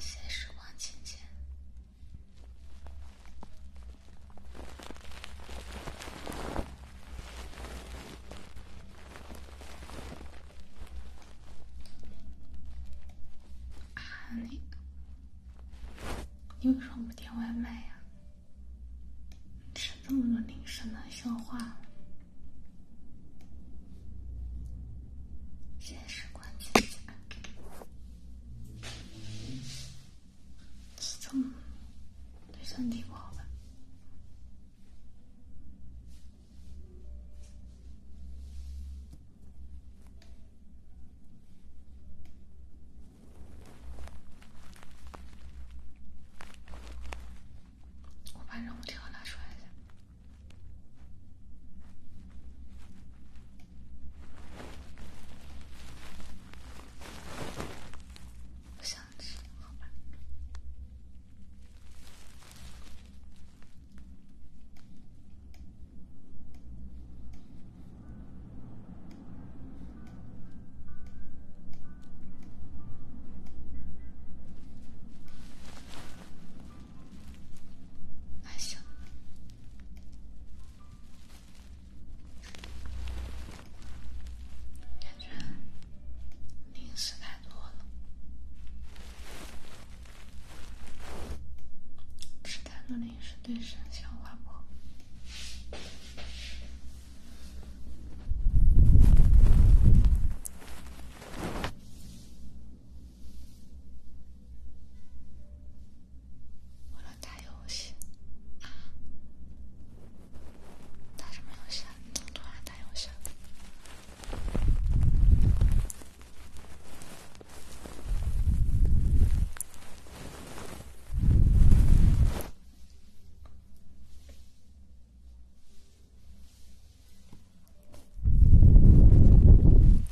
谢谢时光姐姐。啊，你你为什么不点外卖呀？吃这么多零食难消化。这是冠军家。这对身体不好么？我把任务条拿出来一下。不想吃，好吧？还行。感觉零食太多了，吃太多零食对身消化不好。我要打游戏，打什么游戏？突然打游戏。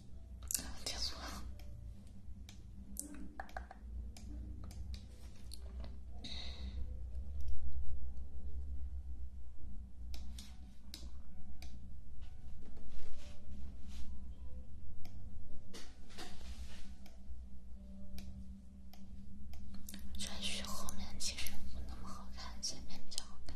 川剧后面其实不那么好看，前面比较好看。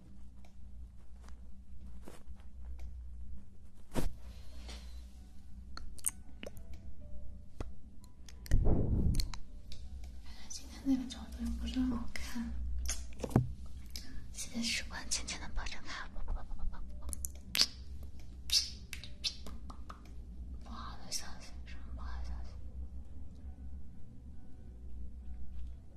反正今天那个角度又不是很好看，谢谢时光轻轻的抱着他。不好的消息，什么不好的消息？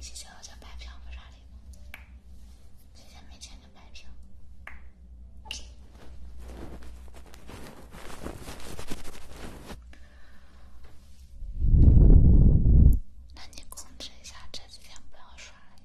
谢谢，我就白嫖不刷礼物。谢谢，没钱就白嫖。那你控制一下这几天不要刷了呀。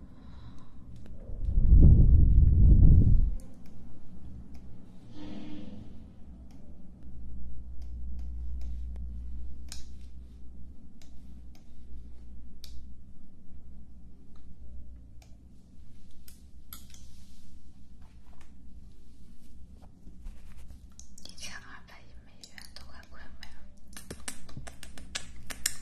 一千二百亿美元都快亏没了。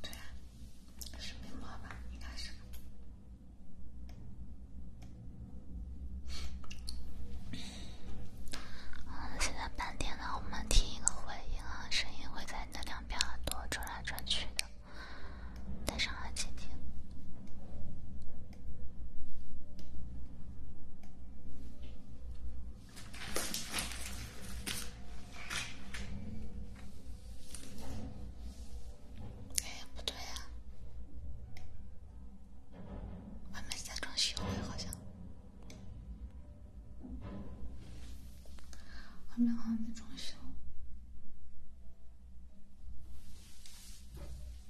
对啊，是没摸吧？应该是。啊，现在白天呢，我们听一个回音啊，声音会在你的两边耳朵转来转去的，戴上耳机听。哎，不对呀，外面在装修，好像，外面好像在装修。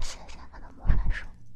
谢谢他的魔法书。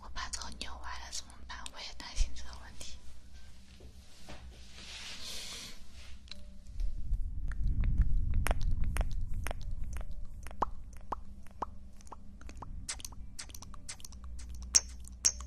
我把头扭歪了怎么办？我也担心这个问题。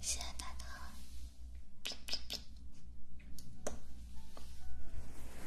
谢谢大头。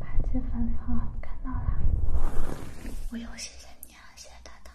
八级粉团，看到了，我又谢谢你了，谢谢大糖。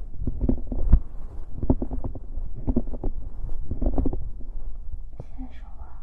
现在说话。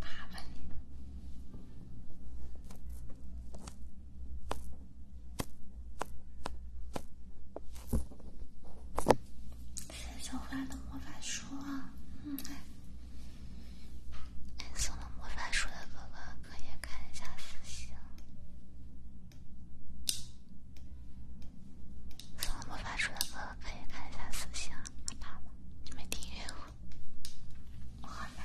爸爸呢？送回的魔法书，嗯，送了魔法书的哥哥可以看一下私信，送了魔法书的哥哥可以看一下私信。你们听音乐吗？我们。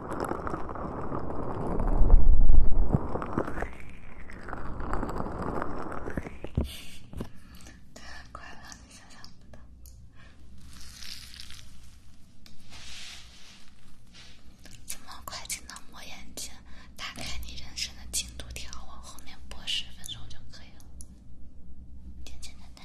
快乐，你想象不到。怎么快进到末眼睛？打开你人生的进度条，往后面播十分钟就可以了。简简单单。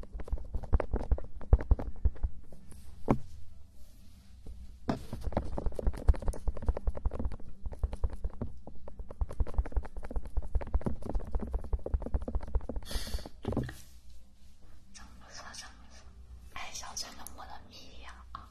真不错，真不错！哎，小陈，能不能眯一下啊？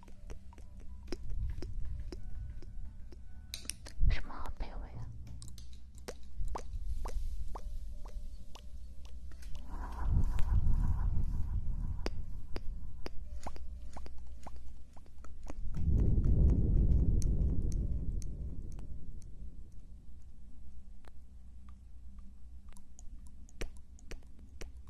什么好卑微啊！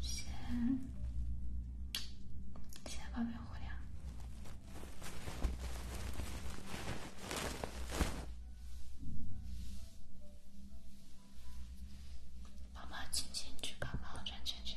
先，先抱抱虎粮，宝宝亲亲，举高高，转圈圈。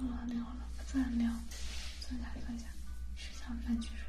聊了聊了，不再聊。坐下坐下，吃早饭去是吧？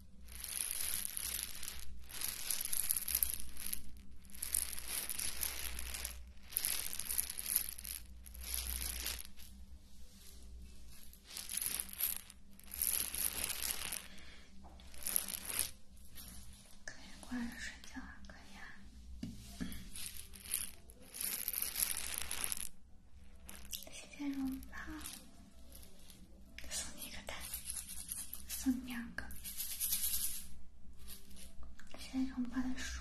可以挂着睡觉啊，可以啊。谢谢荣胖。送你一个蛋，送你两个。现在让我们把它数。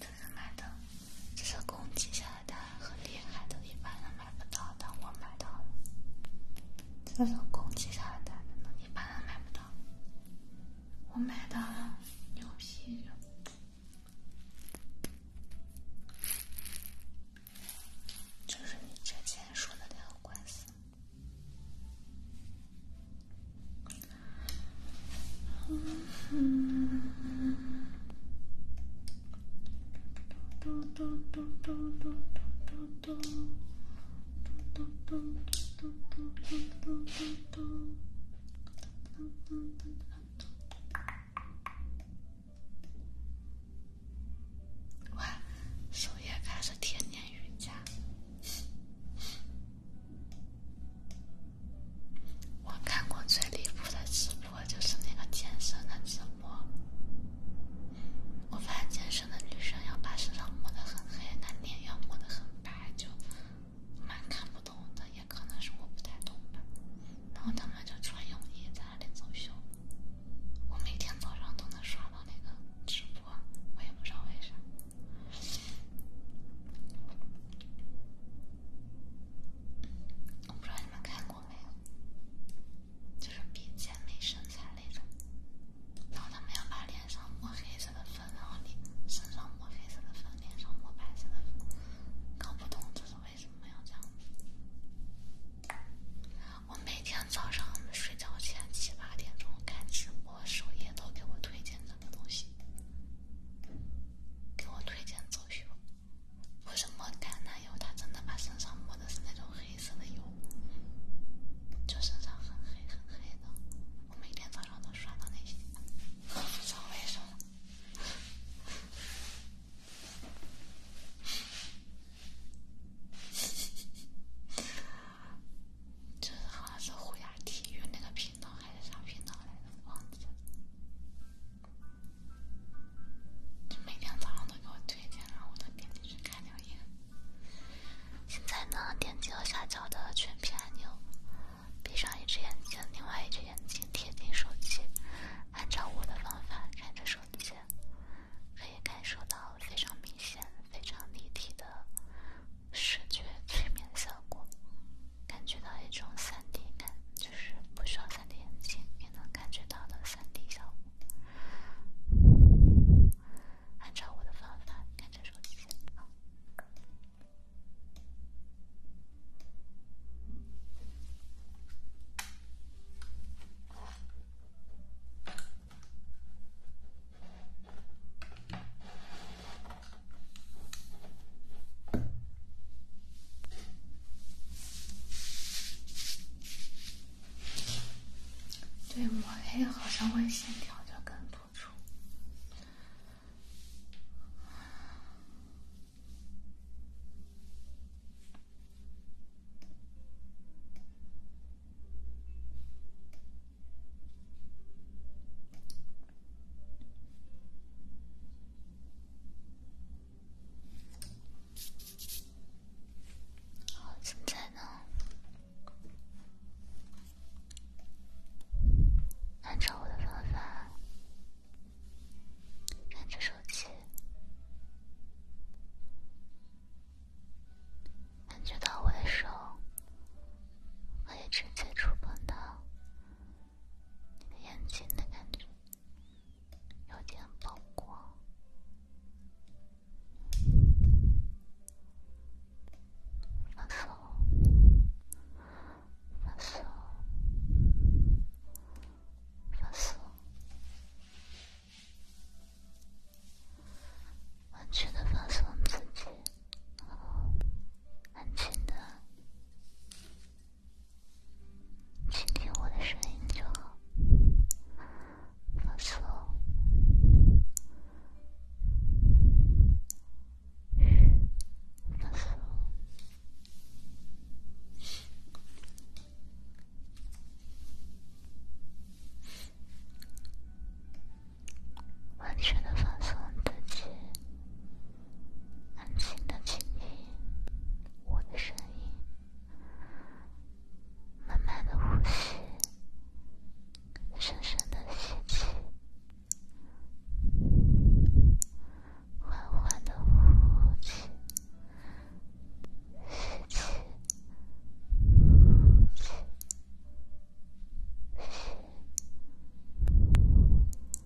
这是买的。这是公鸡下的蛋，很厉害，都一般人买不到的，我买到了。这是公鸡下的蛋，一般人买不到，我买到了牛皮的，就是你之前说的那个官司。嗯，嘟嘟嘟嘟嘟嘟嘟嘟嘟嘟嘟嘟嘟嘟嘟嘟嘟嘟嘟。哇，首页开始天天瑜伽。我看过最离谱的直播就是那个健身的直播。我发现健身的女生要把身上抹的很黑，那脸要抹的很白，就蛮看不懂的，也可能是我不太懂吧。然后他们就穿泳衣在那里走秀，我每天早上都能刷到那个直播，我也不知道为啥。我不知道你们看过没有，就是比姐妹身材那种。然后他们要把脸上抹黑色的粉，然后你上抹黑色的粉，脸上抹白色的粉，搞不懂这是为什么要这样。我每天早上睡觉前七八点钟看直播，首页都给我推荐那个东西。给我推荐走秀，为什么橄榄油，他真的把身上抹的是那种黑色的油，就身上很黑很黑的。我每天早上都刷到那些，不知道为什么。就是好像是虎牙体育那个。频道还是啥频道来着？忘记了。就每天早上都给我推荐，然后我都点进去看两眼。现在呢，点击左下角的全屏按钮，闭上一只眼睛，另外一只眼睛贴近手机，按照我的方法看着手机，可以感受到非常明显、非常立体的视觉催眠效果。感觉到一种三 D 感，就是不需要三 D 眼镜也能感觉到的三 D 效果。按照我的方法看这首曲子。对，抹黑好像会线条就更突出。好，现在呢？按照我的方法，看着手机，感觉到我的手可以直接触碰到。眼睛的感觉有点曝光，放松，放松，放松，完全的放松自己，安静的。听听我的声音就好，放松，放松，完全的放松自己。安静的倾听我的声音，慢慢的呼吸，深深的吸气，缓缓的呼气，呼气，呼气。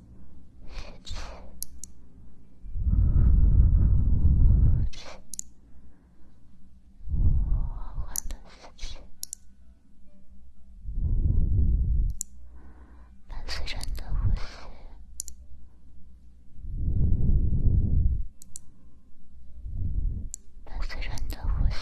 死气，死气，缓伴随人的呼吸，伴随人的呼吸。